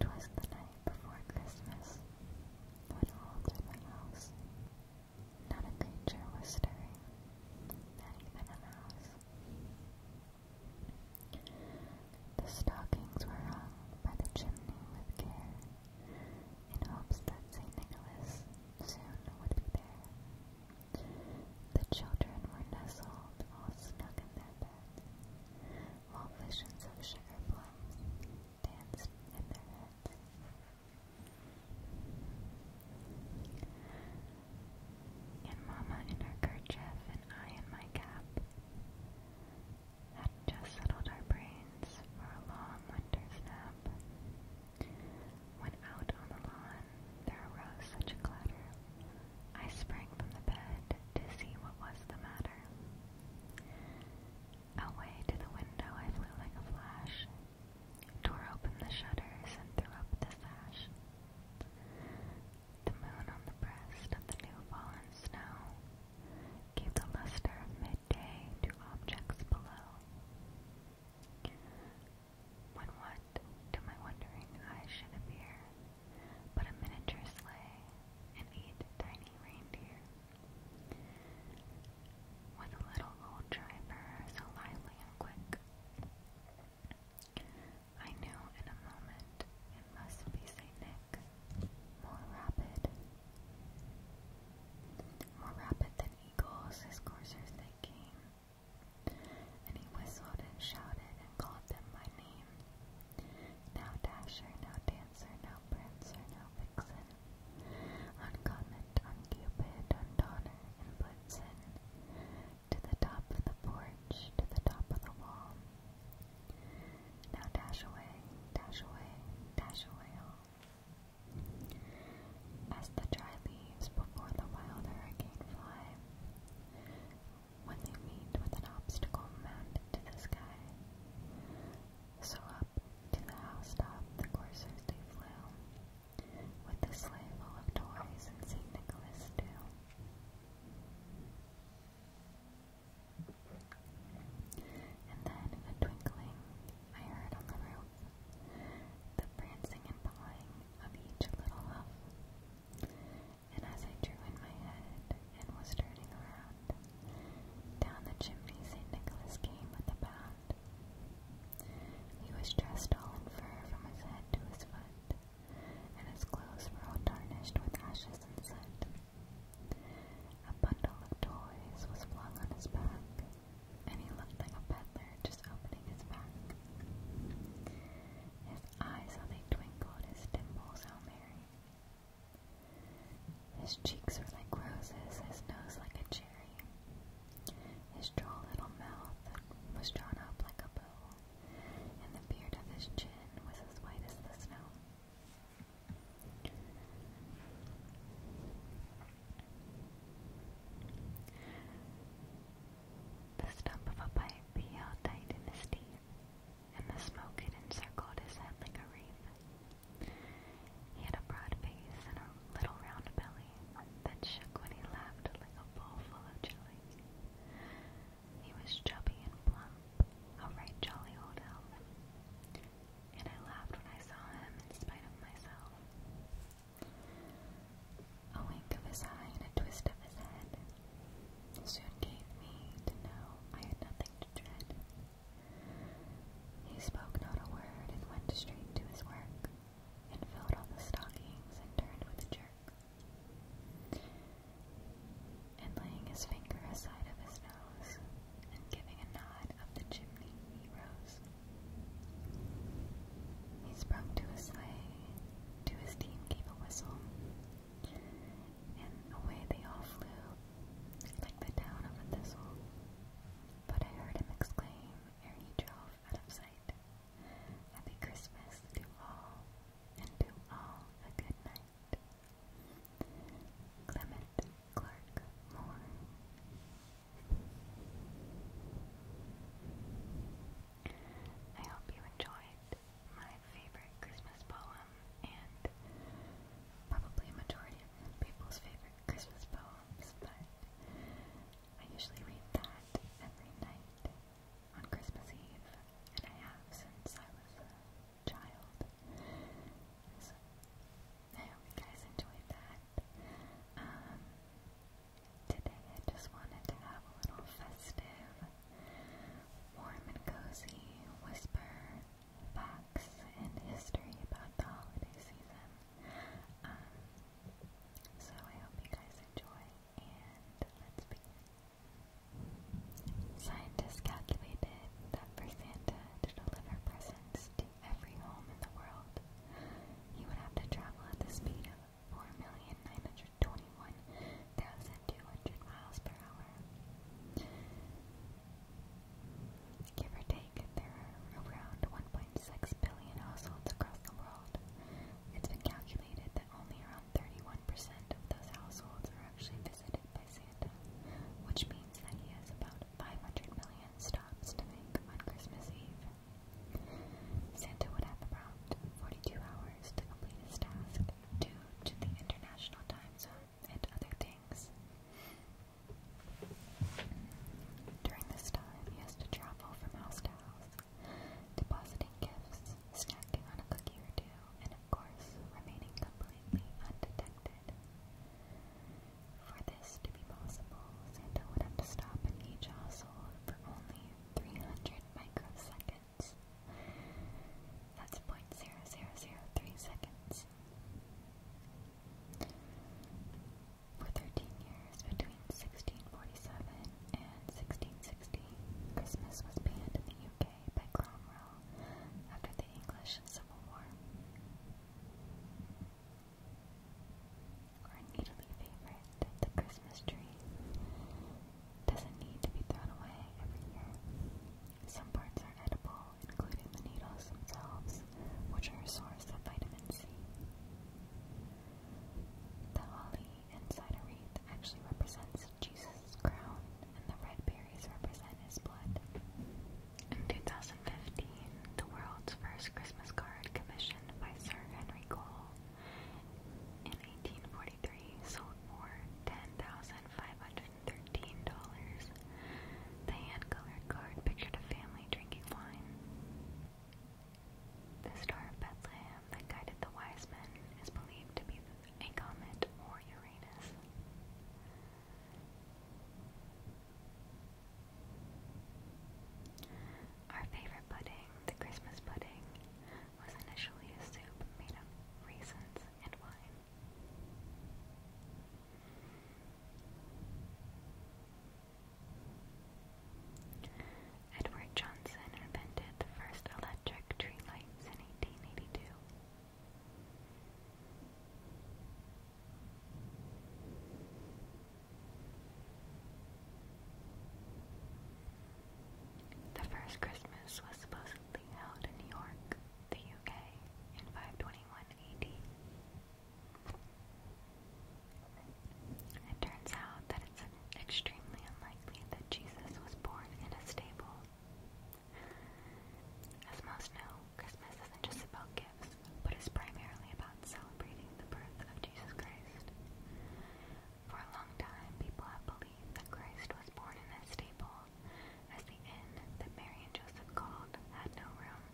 'Twas the night before Christmas, when all through my house, not a creature was stirring, not even a mouse. The stockings were hung by the chimney with care, in hopes that St. Nicholas soon would be there. The children were nestled all snug in their beds, while visions of sugar plums danced in their heads. And Mamma, in her kerchief and I in my cap had just settled our brains for a long winter's nap. When out on the lawn there arose such a clatter, I sprang from the bed to see what was the matter. Away to the window I flew like a flash, tore open the shutters and threw up the sash. The moon on the breast of the new fallen snow gave the luster of midday to objects below. When what, to my wondering eyes, should appear but a miniature sleigh and eight tiny reindeer. With a little old driver so lively and quick. I knew in a moment it must be St. Nick, more rapid. More rapid than eagles, his coursers they came, and he whistled and shouted and called them by name. Now Dasher, now Dancer, now Prancer, now Vixen. On Comet, on Cupid, To the top of the porch, to the top of the wall. Now dash away, dash away, dash away as the dry leaves before the wild hurricane fly. When they meet with an obstacle mounted to the sky. So up to the house top the coursers they flew, with the sleigh full of toys and St. Nicholas too. And then in a twinkling, I heard on the roof the prancing and pawing of each little huff. And as I drew in my head and was turning around, down the chimney St. Nicholas came with a bound. He was dressed all in fur from his head to his foot, and his clothes were all tarnished with ashes and soot. A bundle of toys was flung on his back, and he looked like a peddler just opening his pack. His eyes, how they twinkled, his dimples, how merry. His cheeks were like roses, his nose like a cherry. His droll little mouth was drawn up like a bow, and the beard of his chin was as white as the snow. The stump of a pipe he held tight in his teeth, and the smoke had encircled his head like a wreath. He had a broad face and a little round belly that shook when he laughed like a bowl of jelly. He was chubby and plump, a right jolly old elf, and I laughed when I saw him in spite of myself. A wink of his eye and a twist of his head soon gave me to know I had nothing to dread. He spoke not a word and went straight to his work, and filled all the stockings and turned with a jerk. And laying his finger aside of his nose, and giving a nod of the chimney, he rose. He spoke to his sleigh, to his team gave a whistle, and away they all flew, like the down of a thistle. But I heard him exclaim ere he drove out of sight, Happy Christmas to all, and to all a good night. Clement Clark Moore I hope you enjoyed my favorite Christmas poem and probably a majority of people's favorite Christmas poems, but I usually read that every night on Christmas Eve, and I have since I was a child. So I hope you guys enjoyed that. Um, Today I just wanted to have a little festive, warm and cozy whisper facts and history about the holiday season. Um, so I hope you guys enjoy, and let's begin. Scientists calculated that for Santa to deliver presents to every home in the world, he would have to travel at the speed of 4,921,200 miles per hour. Give or take, there are around 1.6 billion households across the world. It's been calculated that only around 31% of those households are actually visited by Santa, which means that he has about 500 million stops to make on Christmas Eve. Santa would have about 42 hours to complete his task due to the international time zone and other things. During this time, he has to travel from house to house, depositing gifts, snacking on a cookie or two, and of course, remaining completely undetected. For this to be possible, Santa would have to stop in each household for only 300 microseconds. That's point zero zero zero three seconds. For 13 years, between 1647 and 1660, Christmas was banned in the UK by Cromwell after the English Civil War or an favorite, the Christmas tree doesn't need to be thrown away every year. Some parts are edible, including the needles themselves, which are a source of vitamin C. The holly inside a wreath actually represents Jesus' crown, and the red berries represent his blood. In 2015, the world's first Christmas card commissioned by Sir Henry Cole in 1843, sold for $10,513. The hand-colored card pictured a family drinking wine. The star of Bethlehem that guided the wise men is believed to be a comet or Uranus. Our favorite pudding, the Christmas pudding, was initially a soup made of raisins and wine. Edward Johnson invented the first electric tree lights in 1882. The first Christmas was supposedly held in New York, the UK, in 521 AD. It turns out that it's extremely unlikely that Jesus was born in a stable. As most know, Christmas is just about gifts, but is primarily about celebrating the birth of Jesus Christ. For a long time, people have believed that Christ was born in a stable, as the inn that Mary and Joseph called had no room.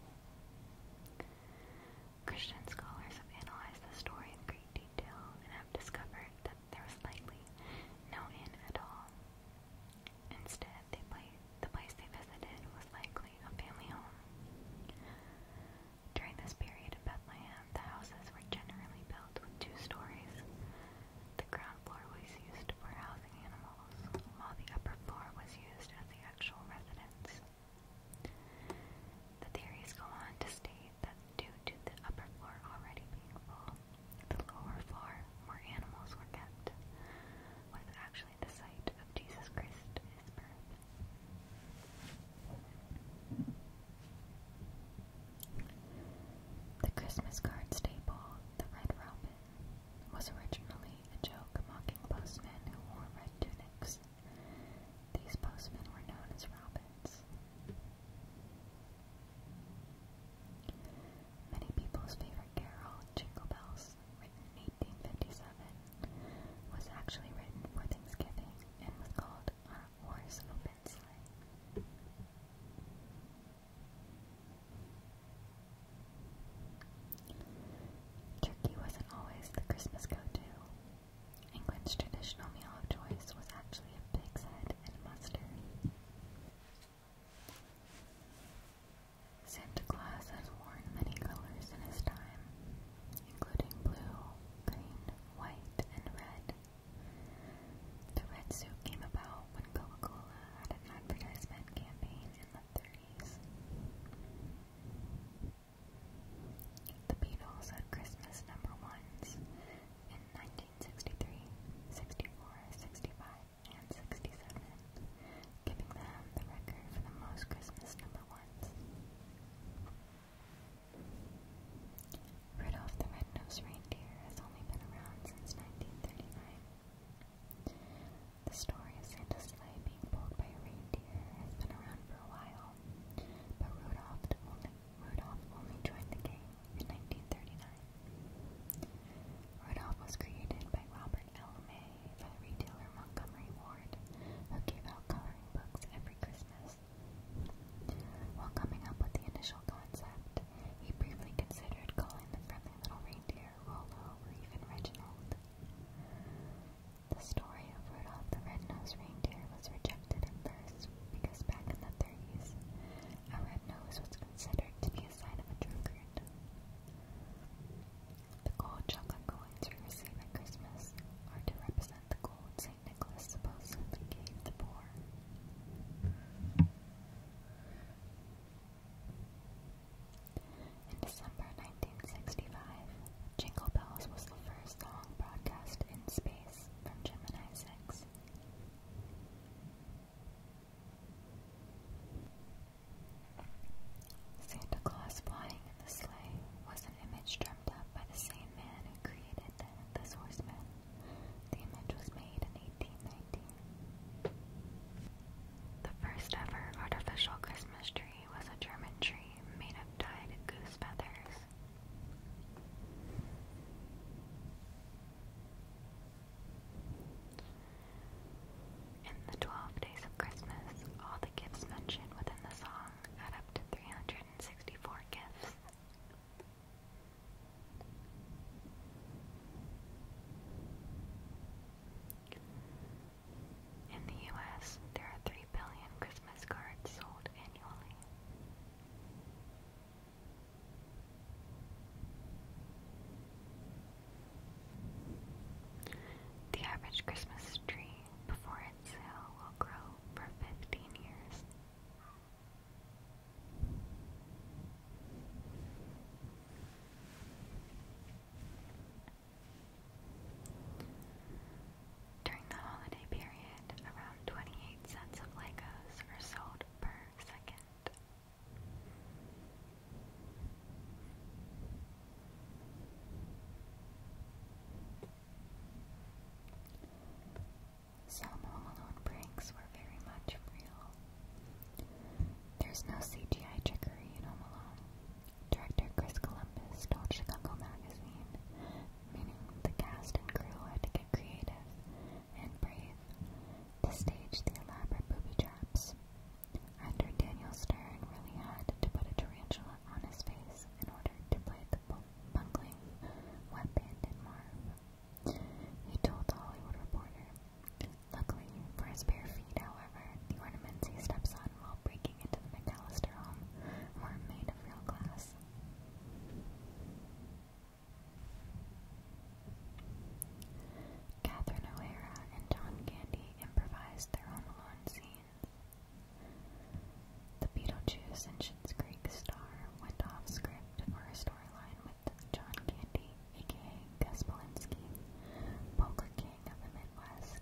Christian scholars have analyzed the story in great detail and have discovered that there was likely no inn at all. Instead, they play, the place they visited was likely a family home. During this period in Bethlehem, the houses were generally built with two stories. The ground floor was used for housing animals, while the upper floor was used as the actual residence. The theories go on to state that due to the upper floor already being full, the lower floor, where animals were kept, was actually the site of Jesus Christ's birth. The Christmas card staple, the Red Robin, was originally a joke mocking postmen who wore red tunics. These postmen were known as robins. Many people's favorite carol, Jingle Bells, written in 1857, was actually written for Thanksgiving and was called Turkey wasn't always the Christmas go-to. England's traditional meal of choice was actually a pig's head and mustard. Santa Claus has worn many colors in his time, including blue, green, white, and red. The red suit came about when Coca Cola had an advertisement campaign in the 30s. The Beatles had Christmas number ones in 1963, 64, 65, and 67, giving them the record for the most Christmas number ones. Rudolph the Red-Nosed Reindeer has only been around since 1939. The story of Santa's sleigh being pulled by a reindeer has been around for a while, but Rudolph only, joined the game in 1939. Rudolph was created by Robert L. May for retailer Montgomery Ward, who gave out coloring books every Christmas. While coming up with the initial concept, he briefly considered calling the friendly little reindeer Rollo or even Reginald. The story of Rudolph the Red-Nosed Reindeer was rejected at first because back in the 30s, a red nose was considered to be a sign of a drunkard. The gold chocolate coins we at Christmas are to represent the gold Nicholas supposedly gave the poor. In December 1965, Jingle Bells was the first song broadcast in space from Gemini 6. Santa Claus flying in the sleigh was an image drawn by the same man who created this horseman. The image was made in 1819. The first ever artificial Christmas tree was a German tree made of dyed goose feathers. In the 12 days of Christmas, all the gifts mentioned within the song add up to 364 gifts. In the US, there are 3 billion Christmas cards sold annually. The average Christmas tree before its sale will grow for 15 years. During the holiday period, around 28 cents of Legos are sold per second. Some Home Alone pranks were very much real. There's no CGI trickery in Home Alone. Director Chris Columbus told Chicago Magazine, meaning the cast and crew had to get creative and brave to stage the elaborate booby traps. Actor Daniel Stern really had to put a tarantula on his face in order to play the the buckling, wet-banded He told the Hollywood Reporter. Luckily, for his bare feet, however, the ornaments he steps on while breaking into the McAllister home were made of real glass. Catherine O'Hara and John Candy improvised their Home Alone scenes. The Beetlejuice and Schitt's star went off script for a storyline with John Candy, aka Gus Polinski, poker king of the Midwest.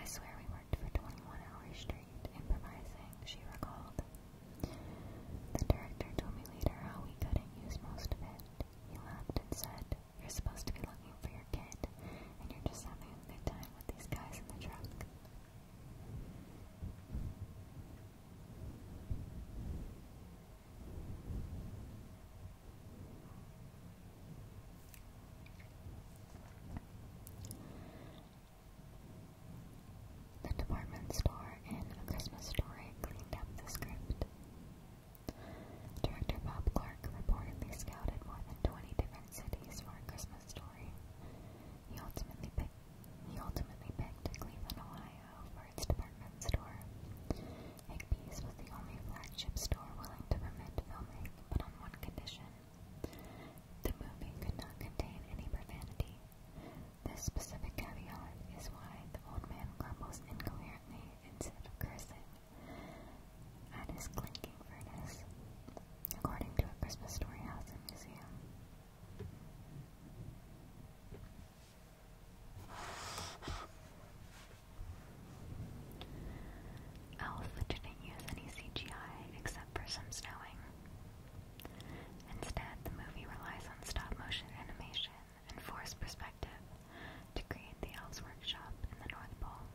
I swear we worked for 21 hours straight improvising, she recalled. The director told me later how we couldn't use most of it. He laughed and said, You're supposed to be looking for your kid, and you're just having a good time with these guys in the truck. The department store in A Christmas Story cleaned up the script. Director Bob Clark reportedly scouted more than 20 different cities for A Christmas Story. He ultimately picked he ultimately picked Cleveland, Ohio for its department store. Higbee's was the only flagship store willing to permit filming, but on one condition. The movie could not contain any profanity. This specific caveat is why the old man grumbles incoherently instead of cursing at his clinking furnace, according to a Christmas Story House and Museum. Elf didn't use any CGI except for some snowing. Instead, the movie relies on stop motion animation and forced perspective to create the Elves Workshop in the North Pole.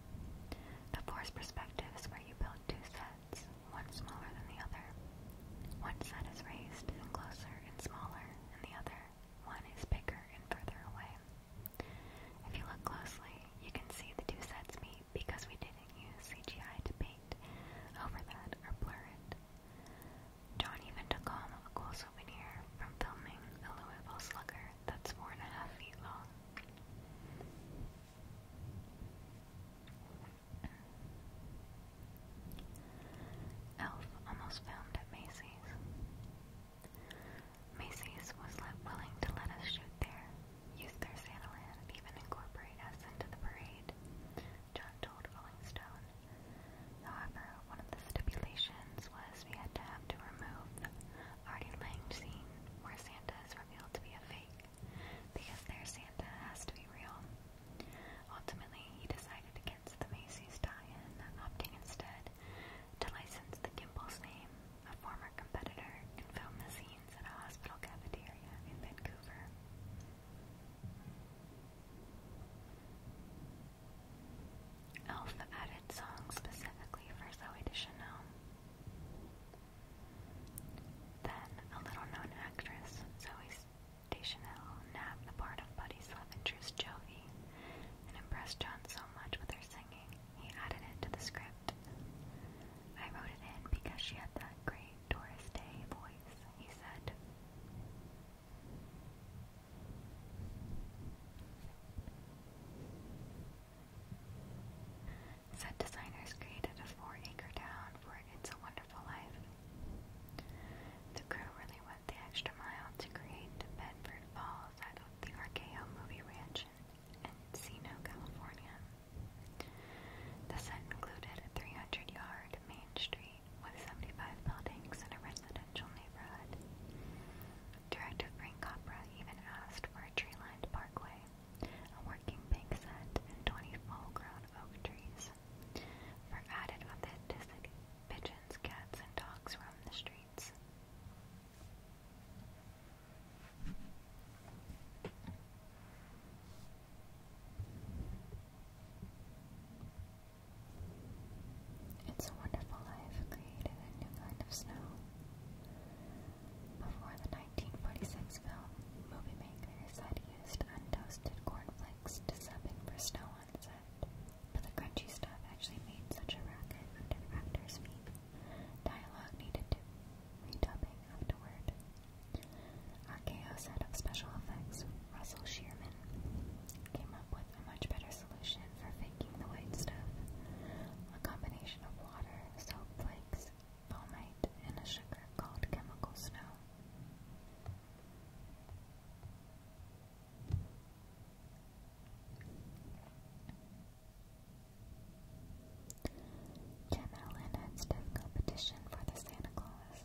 The forced perspective is where you build two sets one smaller than the other. One set is raised and closer and smaller, and the other one is bigger and further away. If you look closely, you can see the two sets meet because we didn't use CGI to paint over that or blur it. John even took home a cool souvenir from filming a Louisville slugger that's four and a half feet long. Elf almost found at Macy's. Macy's was willing to let us shoot there, use their Santa and even incorporate us into the parade, John told Rolling Stone. However, one of the stipulations was we had to have to remove the Artie Lang scene where Santa is revealed to be a fake because their Santa has to be real. Ultimately, he decided against the Macy's tie-in, opting instead to license the Gimbel's name, a former competitor, and film the scenes at a hospital cafeteria in Vancouver. Elf added songs specifically for Zoe Deschanel. Then, a little-known actress, Zoe Deschanel, nabbed the part of Buddy Slavenger's Joey and impressed John so much with her singing, he added it to the script. I wrote it in because she had that great Doris Day voice, he said. Set designers created a four-acre town for It's a Wonderful Life. The crew really went the extra mile to create Bedford Falls out of the RKO Movie Ranch in Encino, California. The set included a 300-yard main street with 75 buildings and a residential neighborhood. Director Frank Capra even asked for a tree-lined parkway a working bank and 20 full-grown oak trees. For added authenticity, pigeons, cats, and dogs roam the streets. It's a wonderful life created a new kind of snow. Before the 1946 film, movie makers had used untoasted cornflakes to sub in for snow on set, but the crunchy stuff actually made such a racket under actors' feet. Dialogue needed to redubbing afterward. RKO set up special effects. Russell Shearman came up with a much better solution for faking the white stuff. A combination of water, soap flakes, palmate, and a sugar called chemical snow. Jim Allen had stiff competition for the Santa Claus.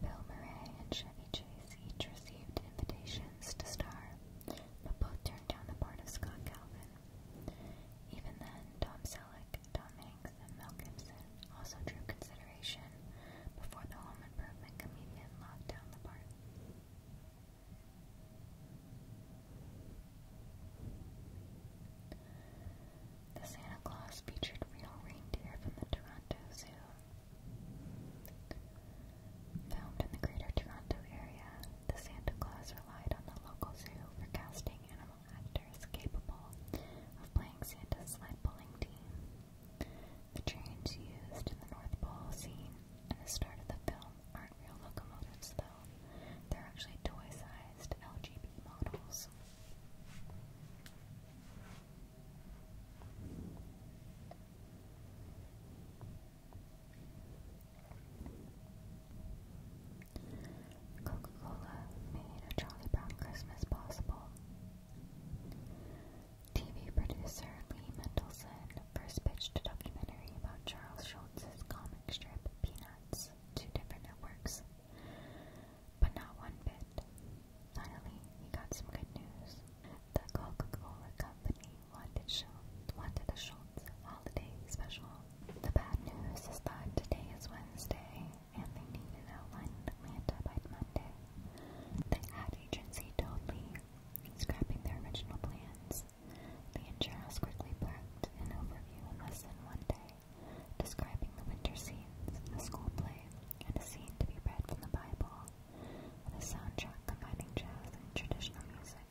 Bill Murray and Chevy Chase each received invitations to star, but both turned down the part of Scott Calvin. Even then, Tom Selleck Tom Hanks and Mel Gibson also drew consideration before the home improvement comedian locked down the part. The Santa Claus featured real reindeer from the Toronto Zoo. Filmed in the greater Toronto area, the Santa Claus relied on the local zoo for casting animals actor capable of playing Santa's sled team. The trains used in the North Pole scene and the start of the film aren't real locomotives, though. They're actually toy-sized LGB models. Coca-Cola made a Charlie Brown Christmas possible. TV producer Lee Mendelson first pitched a documentary about Charles Schulz's comic strip Peanuts to different networks, but not one bit. Finally, he got some good news. The Coca-Cola company wanted, Schultz, wanted a Schultz holiday special. The bad news is that today is Wednesday, and they need an outline in Atlanta by Monday. The ad agency totally scrapping their original plans. The insurers quickly packed an overview in less than one day, describing the winter scenes, a school play, and a scene to be read from the Bible, with a soundtrack combining jazz and traditional music.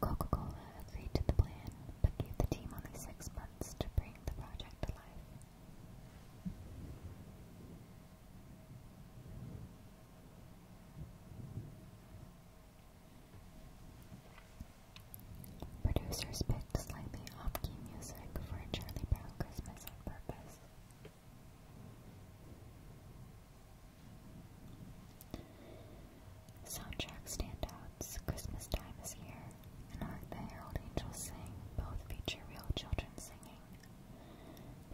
Coca-Cola agreed to the plan, but gave the team only six months to bring the project to life. Producers picked slightly off-key music for a Charlie Brown Christmas on purpose. Soundtrack standout Christmas Time is Here, and Hark the Herald Angels Sing both feature real children singing.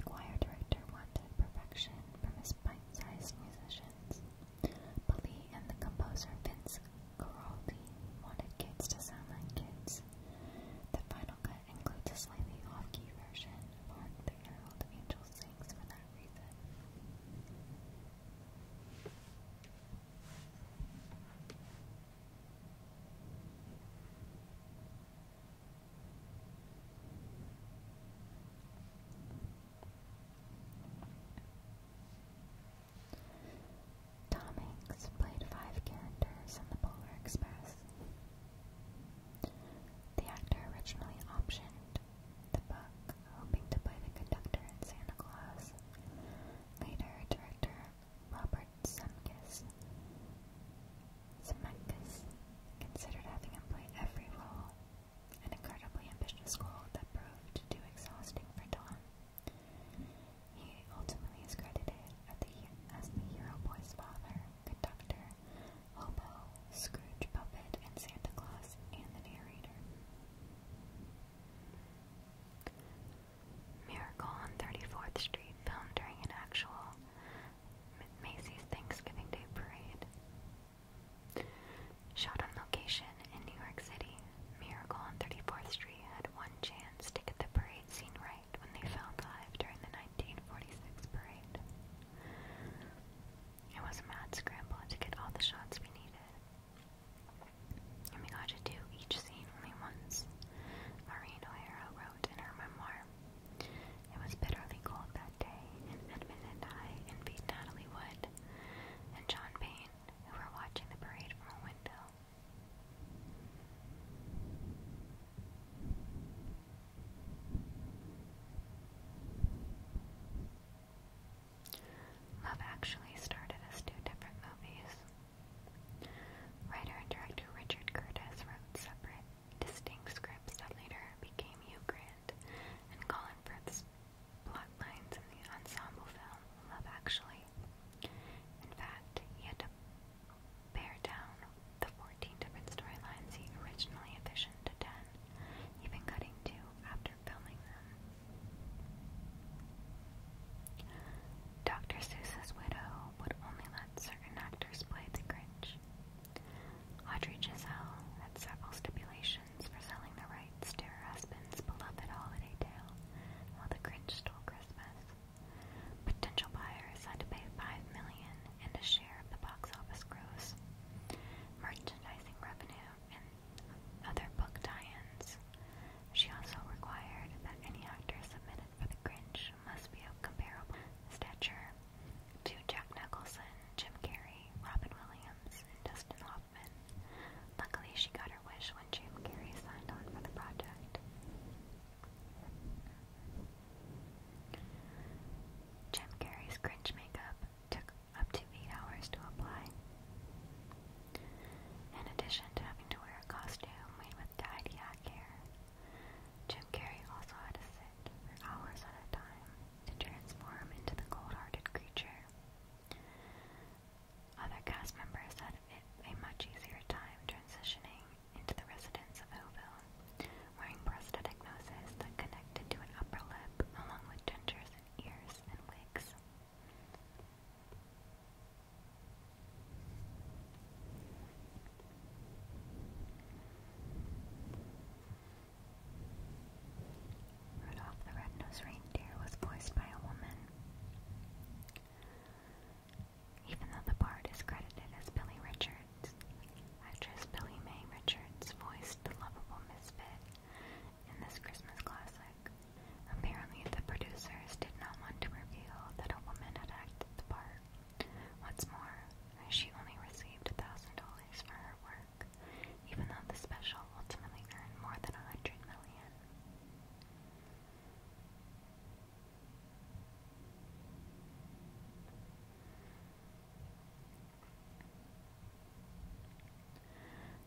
The choir director wanted perfection from his bite-sized musicians, but and the composer Vince Guaraldi wanted kids to sound like kids. The final cut includes a slightly off-key version of Hark the Herald Angels Sing" for that reason. Tom Hanks played five characters in The Polar Express. The actor originally optioned the book hoping to play the conductor in Santa Claus. Later, director Robert Zemeckis considered having him play every role, an incredibly ambitious goal that proved too exhausting for Don. He ultimately is credited at the, as the hero boy's father, conductor, hobo, Scrooge puppet, and Santa Claus, and the narrator. Miracle on 34th Street filmed during an actual Macy's Thanksgiving Day parade. Shot on location in New York City, Miracle on 34th Street had one chance to get the parade scene right when they filmed live during the 1946 parade. It was a mad scramble to get all the shots we needed and we got to do each scene only once. Maureen O'Hara wrote in her memoir. It was bitterly cold that day, and Edmund and I envied Natalie Wood and John Payne, who were watching the parade from a window. Love Actually started as two different movies. Writer and director Richard Curtis wrote separate, distinct scripts that later became Hugh Grant and Colin Firth's plotlines in the ensemble film Love Actually. In fact, he had to pare down the 14 different storylines he originally envisioned to 10, even cutting two after Dr. Seuss's widow would only let certain actors play the Grinch. Audrey Giselle had several stipulations for selling the rights to her husband's beloved holiday tale while the Grinch stole Christmas. Potential buyers had to pay five million and a share of the box office gross, merchandising revenue, and other book tie She also required that any actor submitted for The Grinch must be of comparable stature to Jack Nicholson, Jim Carrey, Robin Williams, and Dustin Hoffman. Luckily, she got her wish when Jim Carrey signed on for the project. Jim Carrey's Grinch makeup took up to 8 hours to apply. In addition to having to wear a costume made with dyed yak hair, Jim Carrey also had to sit for hours at a time to transform into the cold-hearted creature. Other cast members had it a much easier time transitioning into the residents of Hillville, wearing prosthetic noses that connected to an upper lip along with dentures and ears and wigs. Rudolph the Red-Nosed Reindeer was voiced by a woman. Even though the part is credited as Billy Richards, actress Billy Mae Richards voiced the lovable misfit in this Christmas classic. Apparently, the producers did not want to reveal that a woman had acted the part. What's more, she only received $1,000 for her work, even though the special ultimately earned more than $100 million.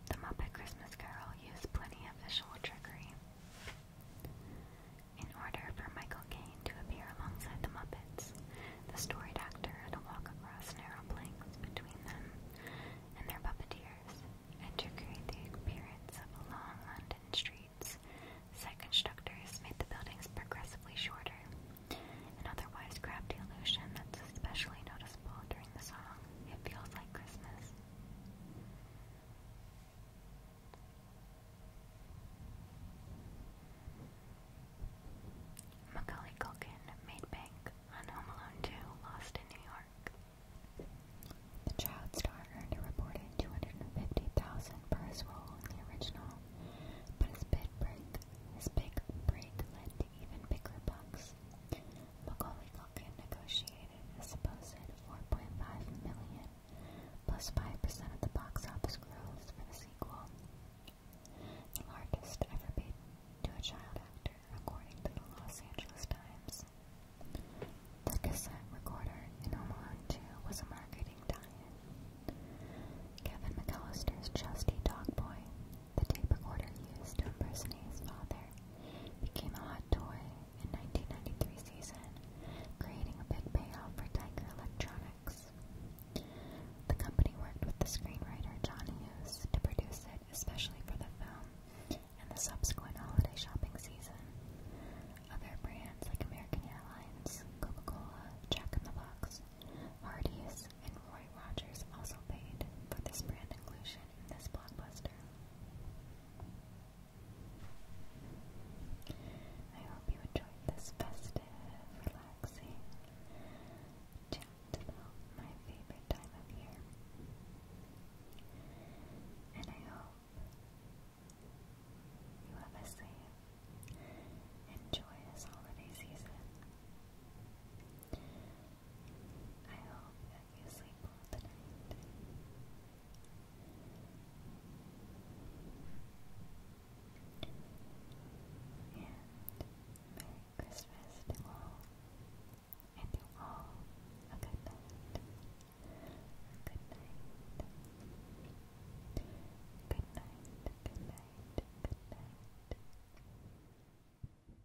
The Muppet Christmas Carol used plenty of visual trickery. In order for Michael Caine to appear alongside the Muppets, the storied actor had to walk across narrow planks between them and their puppeteers, and to create the appearance of long London streets, set constructors made the buildings progressively shorter, an otherwise crafty illusion that's especially noticeable during the song it feels like Christmas. Culkin made Home Alone 2, Lost in New York. The child star earned 250000 per his in the original, but his big break, his big break led to even bigger bucks. Macaulay Culkin negotiated a supposed $4.5 plus 5% of the box office gross for the sequel, the largest ever paid to a child actor, according to the Los Angeles Times. The cassette recorder in Home Alone 2 was a marketing tie-in. Kevin McAllister's trusty dog boy the tape recorder used to impersonate his father, became a hot toy in 1993 season, creating a big payoff for Tiger Electronics. The company worked with the screenwriter John Hughes to produce it, especially for the film and the subsequent holiday shopping season. Other brands like American Airlines, Coca-Cola, Jack in the Box, Hardee's, and Roy Rogers also paid for this brand inclusion this blockbuster. I hope you enjoyed this festive, relaxing chat about my favorite time of year. And I hope you have a safe joyous holiday season. I hope you sleep well tonight. And Merry Christmas to all, and to all a good night, good night, good night, good night, good night.